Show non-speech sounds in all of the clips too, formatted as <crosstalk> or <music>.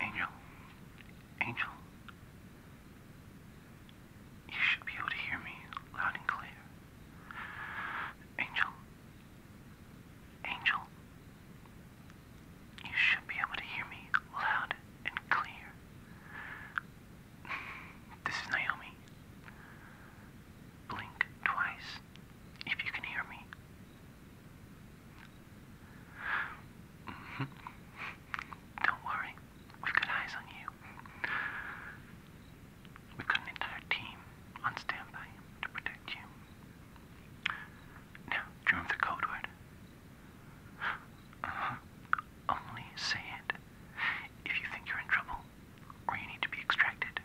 Angel. Angel. You should be able to hear me loud and clear. Angel. Angel. You should be able to hear me loud and clear. This is Naomi. Blink twice if you can hear me. Mm-hmm. Don't worry, we've got eyes on you. We've got an entire team on standby to protect you. Now, do you remember the code word? Uh-huh. Only say it if you think you're in trouble or you need to be extracted.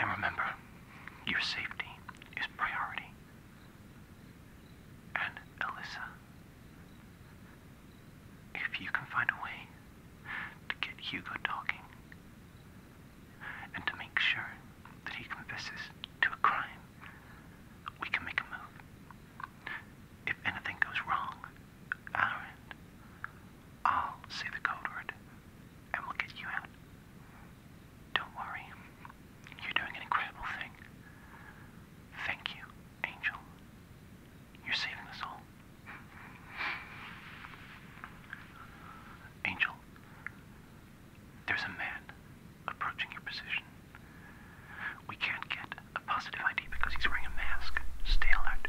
And remember, your safety is priority. And Alyssa, if you can find a way to get Hugo talking and to make sure that he confesses to a crime, we can make a move. If anything goes wrong, Aaron, I'll say the code word and we'll get you out. Don't worry. You're doing an incredible thing. Thank you, Angel. You're saving us all. Angel, there's a man approaching your position. We can't get a positive ID because he's wearing a mask. Stay alert.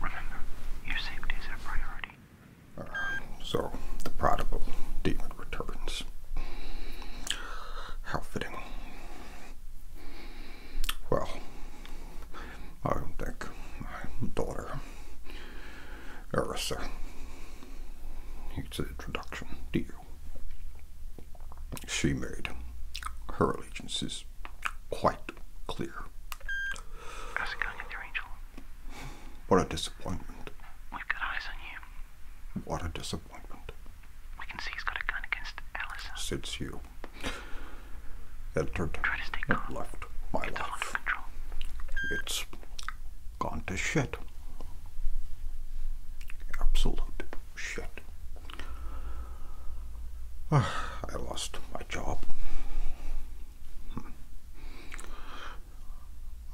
Remember, your safety is our priority. Um, so, the prodigal demon returns. How fitting. Well, I think my daughter, Arisa, needs an introduction to you. She made her allegiance is quite clear. How's it Angel? What a disappointment. We've got eyes on you. What a disappointment disappointment. We can see he's got a gun against Allison. Sits you. Entered. Try Left. My it's life. It's gone to shit. Absolute shit. <sighs> I lost my job. Hmm.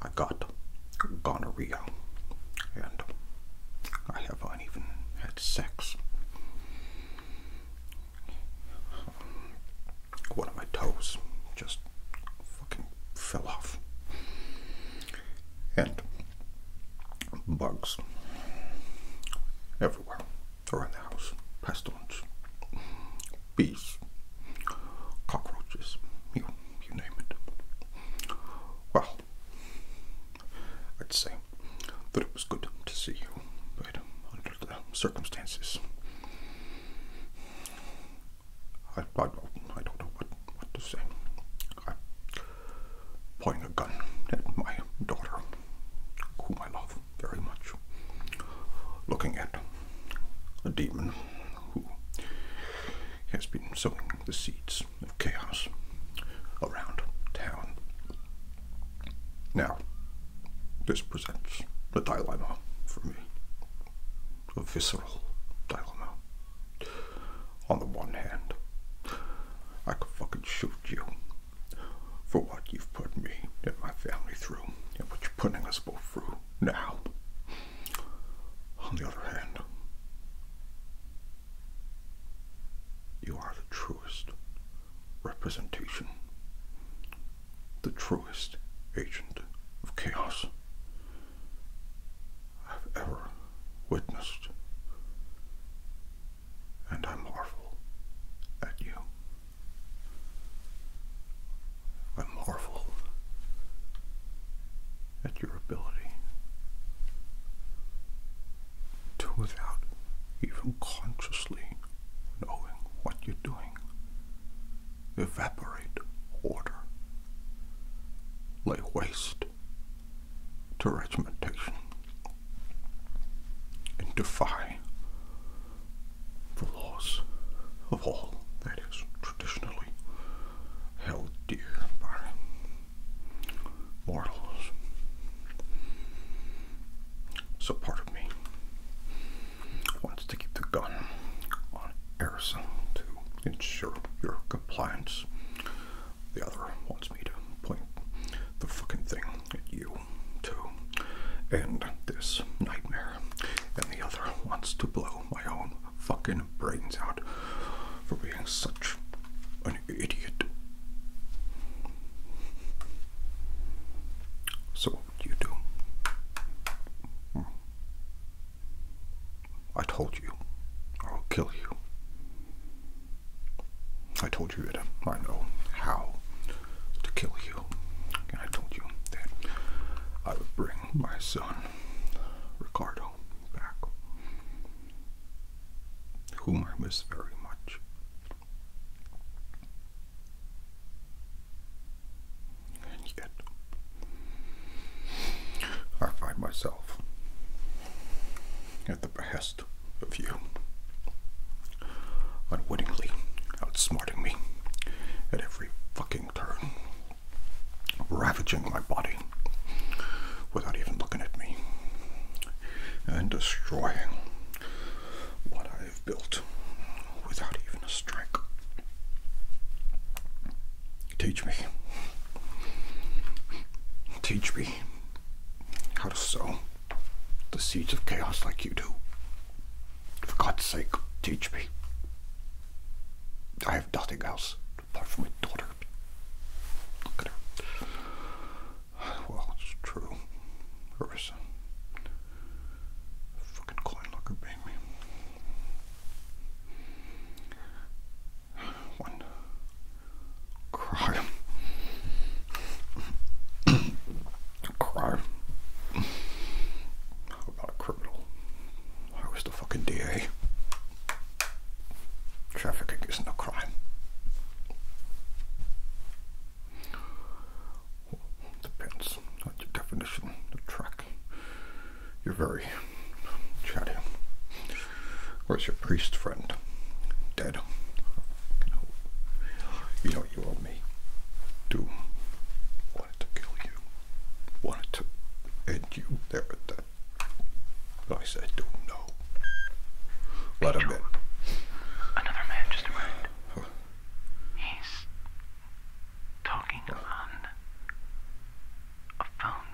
I got gonorrhea and I haven't even had sex. One of my toes just fucking fell off. And bugs everywhere around the house, pestilence, bees, cockroaches, you name it. Well, I'd say that it was good to see you, but under the circumstances, I, I, don't, know what, to say. pointing a gun at my daughter, whom I love very much, looking at a demon who has been sowing the seeds of chaos around town. Now, this presents a dilemma for me, a visceral dilemma. On the one hand, I could fucking shoot you for what you've put me and my family through, and what you're putting us both through now, on the other hand, you are the truest representation, the truest agent of chaos I've ever witnessed, and I marvel at you. I marvel at your ability to, without even consciously knowing what you're doing, evaporate order, lay waste to regimentation, and defy the laws of all that is traditionally Oh dear, mortals. So part of me wants to keep the gun on Arison to ensure your compliance. The other wants me to point the fucking thing at you too, and this nightmare. And the other wants to blow my own fucking brains out for being such an idiot. So, what do you do? Hmm. I told you, I'll kill you. I told you that I know how to kill you. And I told you that I would bring my son Ricardo back, whom I miss very much. And yet, I find myself at the behest of you, unwittingly outsmarting me at every fucking turn ravaging my body without even looking at me and destroying what I have built without even a strike. Teach me. Teach me how to sow the seeds of chaos like you do. For God's sake, teach me. I have nothing else apart from my daughter. Look at her. Well, it's true. Her fucking coin locker baby. One cry. <coughs> cry not a criminal. I was the fucking DA. Trafficking isn't a crime. depends on your definition of track. You're very chatty. Where's your priest friend? Dead. You know you owe me. Do. Wanted to kill you wanted to end you there at that. But I said, don't know. Let him in. Another man just arrived. He's talking on a phone.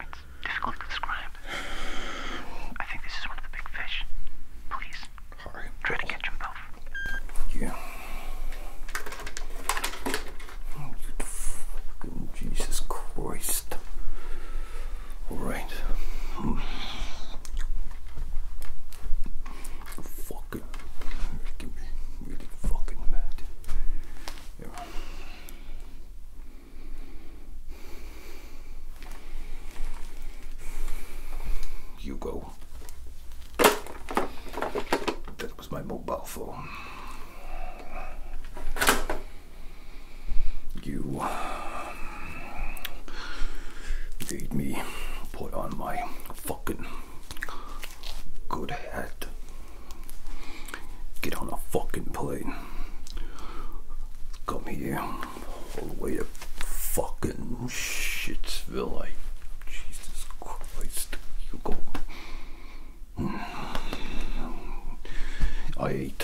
It's difficult to describe. I think this is one of the big fish. Please. Sorry. Try to catch them both. Yeah. Oh, fucking Jesus Christ. Alright. Hmm. Fucking. Making me really fucking mad. Yeah. You go. That was my mobile phone. You um, made me put on my fucking good hat. Get on a fucking plane. Come here all the way to fucking Shitsville. I, Jesus Christ, Hugo. I ate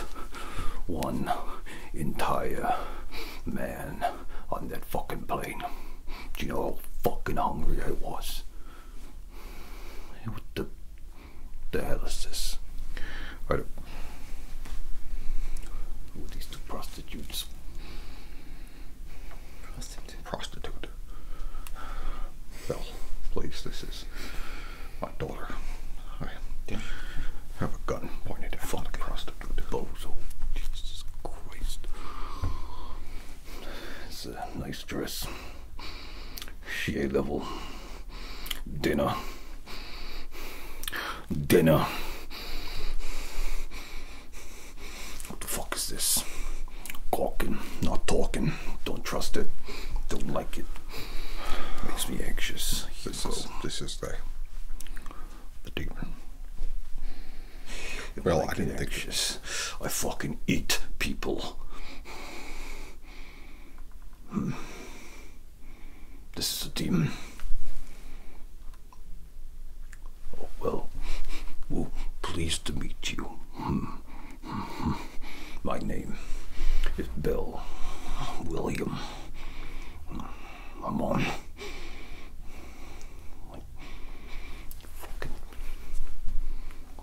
one entire man on that fucking plane. Do you know how fucking hungry I was? What the, the hell is this? Right. Who these two prostitutes? Prostitute. Well, please, this is my daughter. I have a gun pointed at Fuck. a prostitute. Bozo. Jesus Christ. It's a nice dress. She a level. Dinner dinner. What the fuck is this? Talking, not talking. Don't trust it. Don't like it. Makes me anxious. this is, the the demon. well, I didn't anxious. think. I fucking eat people. Hmm. This is a demon. Oh, well, well, pleased to meet you. Hmm. Hmm. My name is Bill William. I'm on.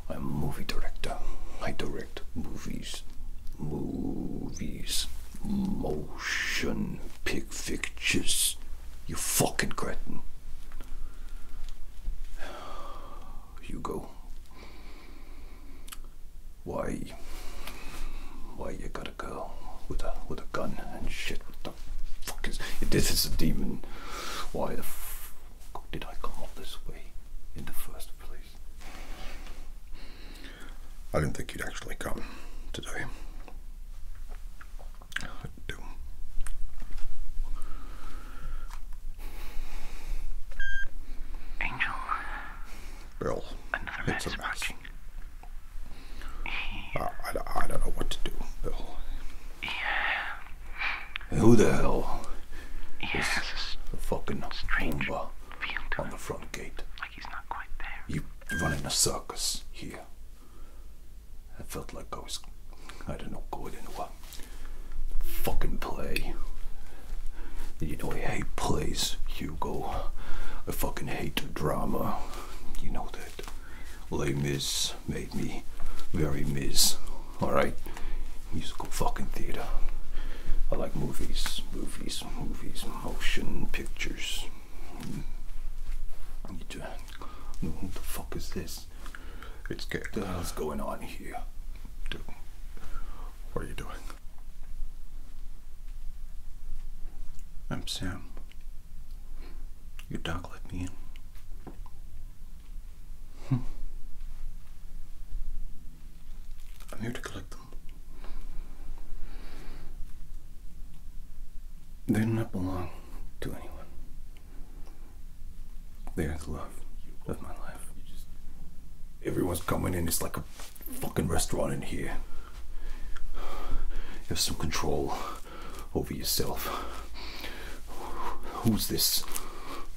I'm a movie director. I direct movies. Movies. Motion pick pictures. You fucking cretin. You go. Why? Why you gotta go with a with a gun and shit? What the fuck is? this is a demon, why the fuck did I come all this way in the first place? I didn't think you'd actually come today. I do. I Bill, Another man I, don't know what to do, Bill. Who the hell Yes. A fucking stranger on the front gate? You he's not running a circus here. I felt like I was, I don't know, going into a fucking play. You know, I hate plays, Hugo. I fucking hate drama. You know that. Les Mis made me very Mis. Alright? Musical fucking theater. I like movies, movies, movies, motion pictures. Who the fuck is this? It's good. What the hell's going on here? what are you doing? I'm Sam. You don't let me in. Hmm. I'm here to collect them. They do not belong to anyone. They are love of my life. Everyone's coming in. It's like a fucking restaurant in here. You have some control over yourself. Who's this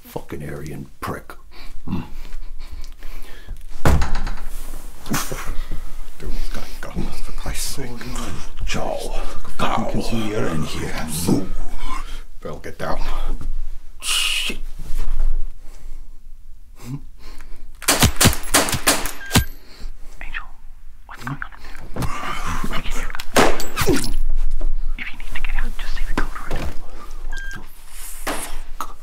fucking Aryan prick? Hmm. Dude, God, God, for Christ's sake. Joe, Ow. You're here. Ooh. Bill, get down. Angel, what's going on? If you need to get out, just say the code word fuck?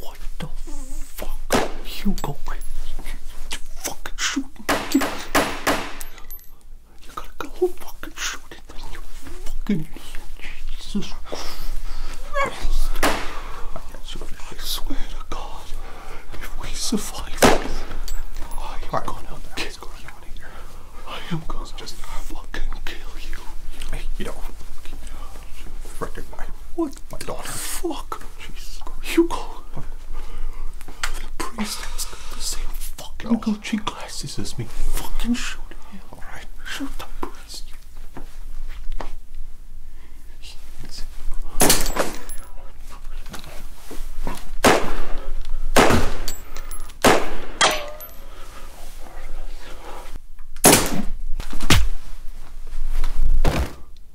What the fuck, Hugo? You fucking shooting me. You gotta go fucking shoot it. You fucking Jesus Christ. I swear to God, if we survive this, I am right, gonna what the kill going on here? I am gonna just fucking kill you. Hey, you know. Fucking my what? My daughter. Fuck. Jesus. Hugo. priest same fucking oh. Gucci glasses as me. Fucking shoot him. Alright. Shoot the priest.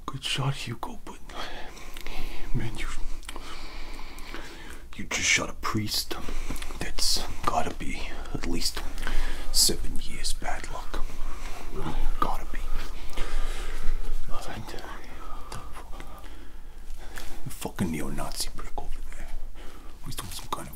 Good shot, Hugo, but man, you you just shot a priest. That's gotta be at least seven years bad luck. Gotta be. Uh, fucking neo-Nazi brick over there. He's doing some kind of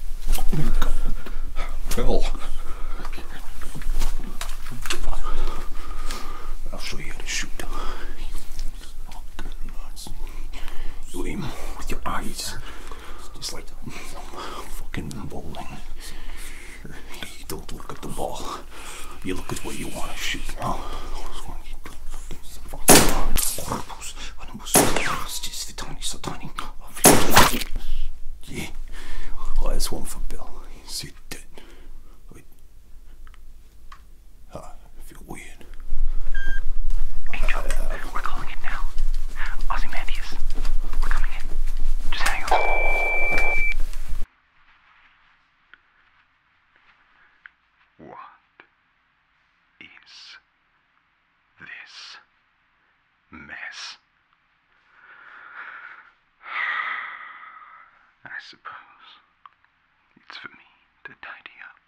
Bill. I'll show you how to shoot. You aim with your eyes. Just like fucking bowling. don't look at the ball. You look at what you want to shoot. It's the tiny, so tiny. Yeah. Oh, that's one for Bill. He's dead. Wait. Oh, I feel weird. Angel, we're calling it now. Ozymandias, we're coming in. Just hang on. What is this mess. I suppose it's for me to tidy up.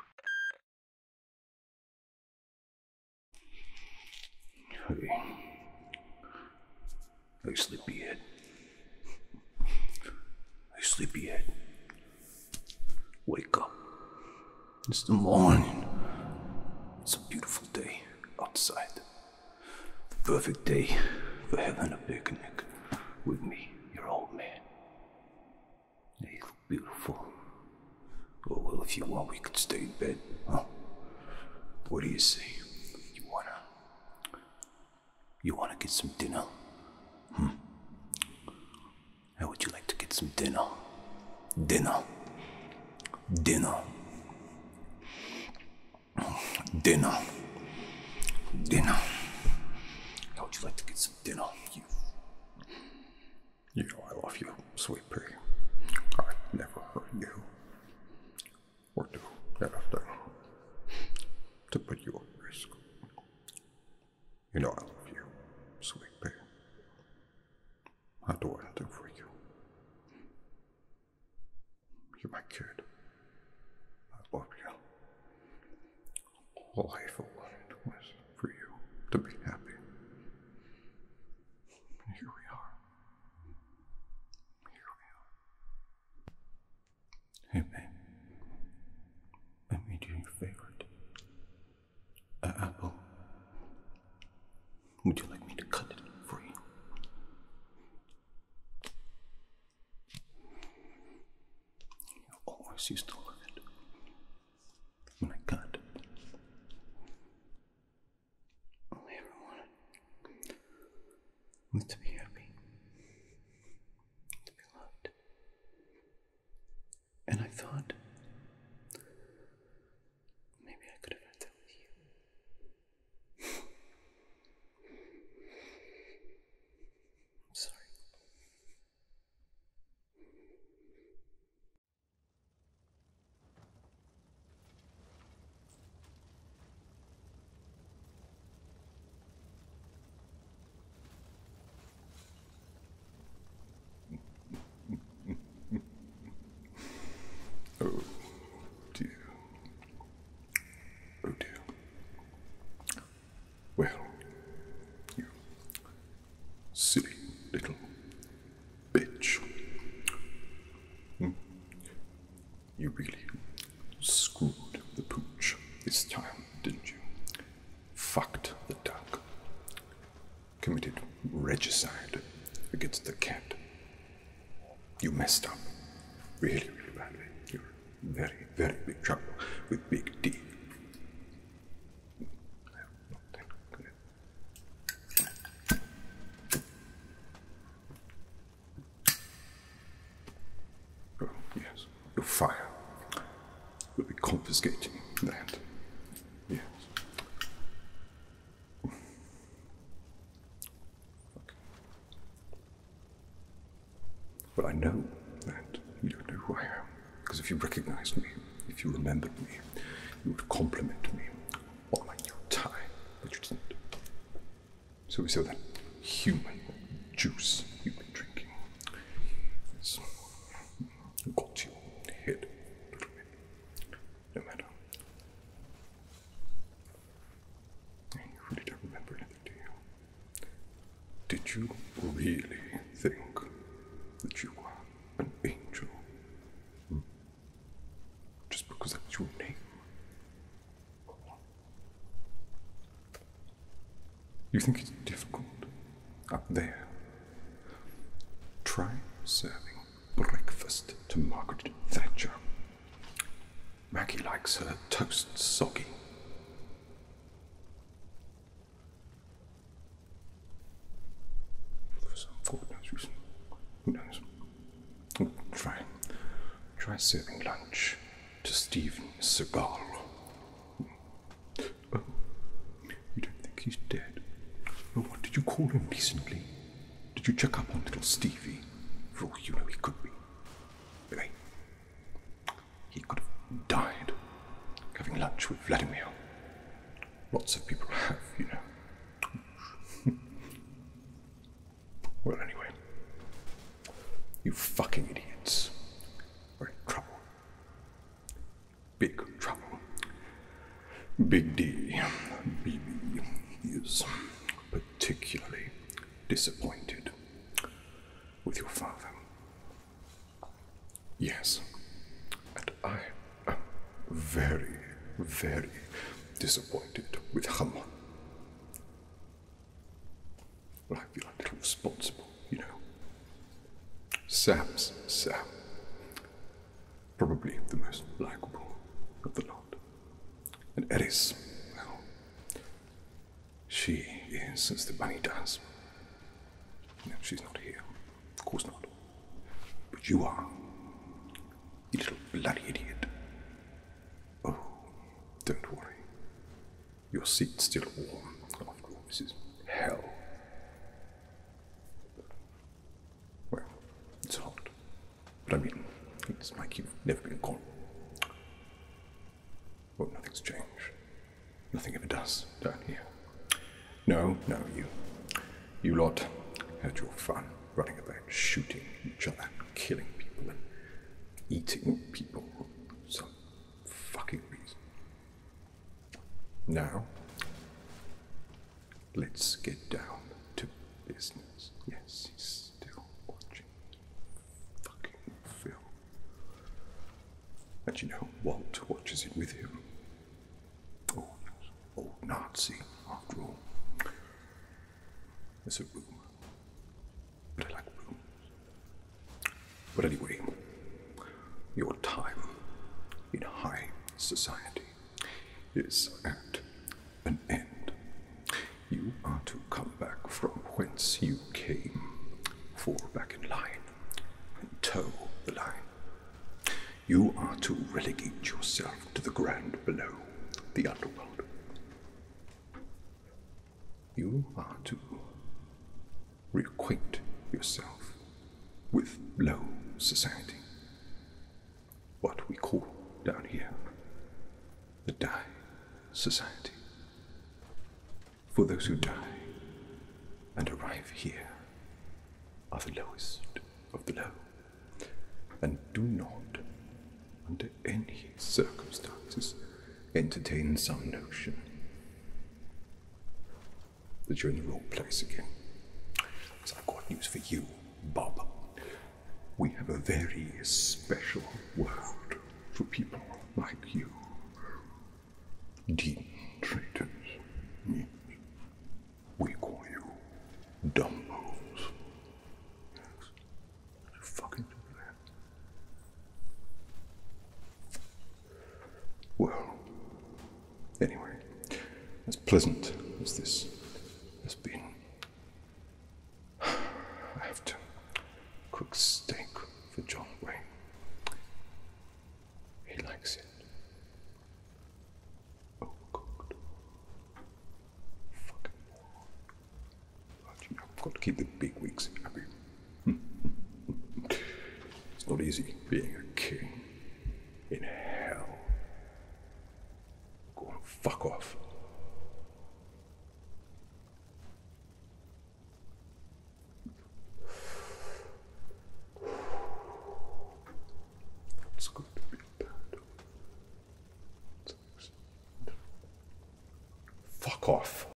Hey. Hey, sleepyhead. Hey, sleepyhead. Wake up. It's the morning. It's a beautiful day outside. The perfect day for having a picnic with me, your old man. They look beautiful. Oh, well, if you want, we could stay in bed, huh? What do you say? You wanna. You wanna get some dinner? Hmm. How would you like to get some dinner? Dinner dinner. Dinner. Dinner. How would you like to get some dinner? You, you know I love you, sweet pea. I never hurt you. Or do anything to put you at risk. You know I love you, sweet pea. I'll do for you. You're my kid. I love you. All I ever wanted was for you to be happy. here we are. Here we are. Hey, babe. I made you your favorite an uh, apple. Uh, oh. Would you like me to cut it for you? You always used to love it when I cut. Only ever wanted was to be happy, to be loved, and I thought maybe I could have had that with you. <laughs> I'm sorry oh dear. Oh dear. Well, you silly little bitch. Hmm? You really screwed the pooch this time, didn't you? Fucked the duck committed regicide against the cat. You messed up really, really badly. You're very, very big trouble with Big D. Oh, yes, you're fired will be confiscating that. Yes. Well, I know that you don't know who I am, because if you recognized me, if you remembered me, you would compliment me on my new tie, but you didn't. So we saw that human juice you've been drinking got you hit little bit. No matter. You really don't remember anything, do Did you really think that you were an angel? Hmm. Just because that's your name? You think it's difficult up there Try serving breakfast to Margaret Thatcher. Maggie likes her toast soggy. Who knows? Oh, try. Try serving lunch to Stephen Segal. Oh, you don't think he's dead? Well, what did you call him recently? Did you check up on little Stevie? For all you know, he could be. Anyway, he could have died having lunch with Vladimir. Lots of people have, you know. <laughs> well, anyway, you fucking idiots. We're in trouble. Big trouble. Big D, BB, is particularly disappointed with your father. Yes, and I am very, very disappointed with Hamon. I feel a little responsible you know, Sam's Sam. Probably the most likable of the lot. And Eris, well, she is as the money does. No, she's not here. Of course not. But you are. You little bloody idiot. Oh, don't worry. Your seat's still warm. After all, this is hell. Well, it's hot. But I mean, it's like you've never been cold. Oh, nothing's changed. Nothing ever does down here. No, no, you. You lot had your fun running about shooting each other, killing people, and eating people for some fucking reason. Now, let's get down to business. Yes, he's still watching fucking film. And you know, Walt watches it with him. Oh, old Nazi, after all. There's a room. But I like rooms. But anyway, your time in high society is at an end. You are to come back from whence you came, fall back in line, and toe the line. You are to relegate yourself to the ground below, the underworld. You are to reacquaint yourself with low society. What we call down here the Die Society. For those who die and arrive here are the lowest of the low, and do not, under any circumstances, entertain some notion that you're in the wrong place again. So I've got news for you, Bob. We have a very special world for people like you. Deep traitors. We call you Dumbos. Yes. Fucking do that. Well, anyway, as pleasant as this has been, I have to cook steak for John Wayne. He likes it. Overcooked. Oh, Fucking moron. But you know, I've got to keep the big wigs happy. <laughs> it's not easy being a king in hell. Go fuck off. It's good to be bad. Fuck off.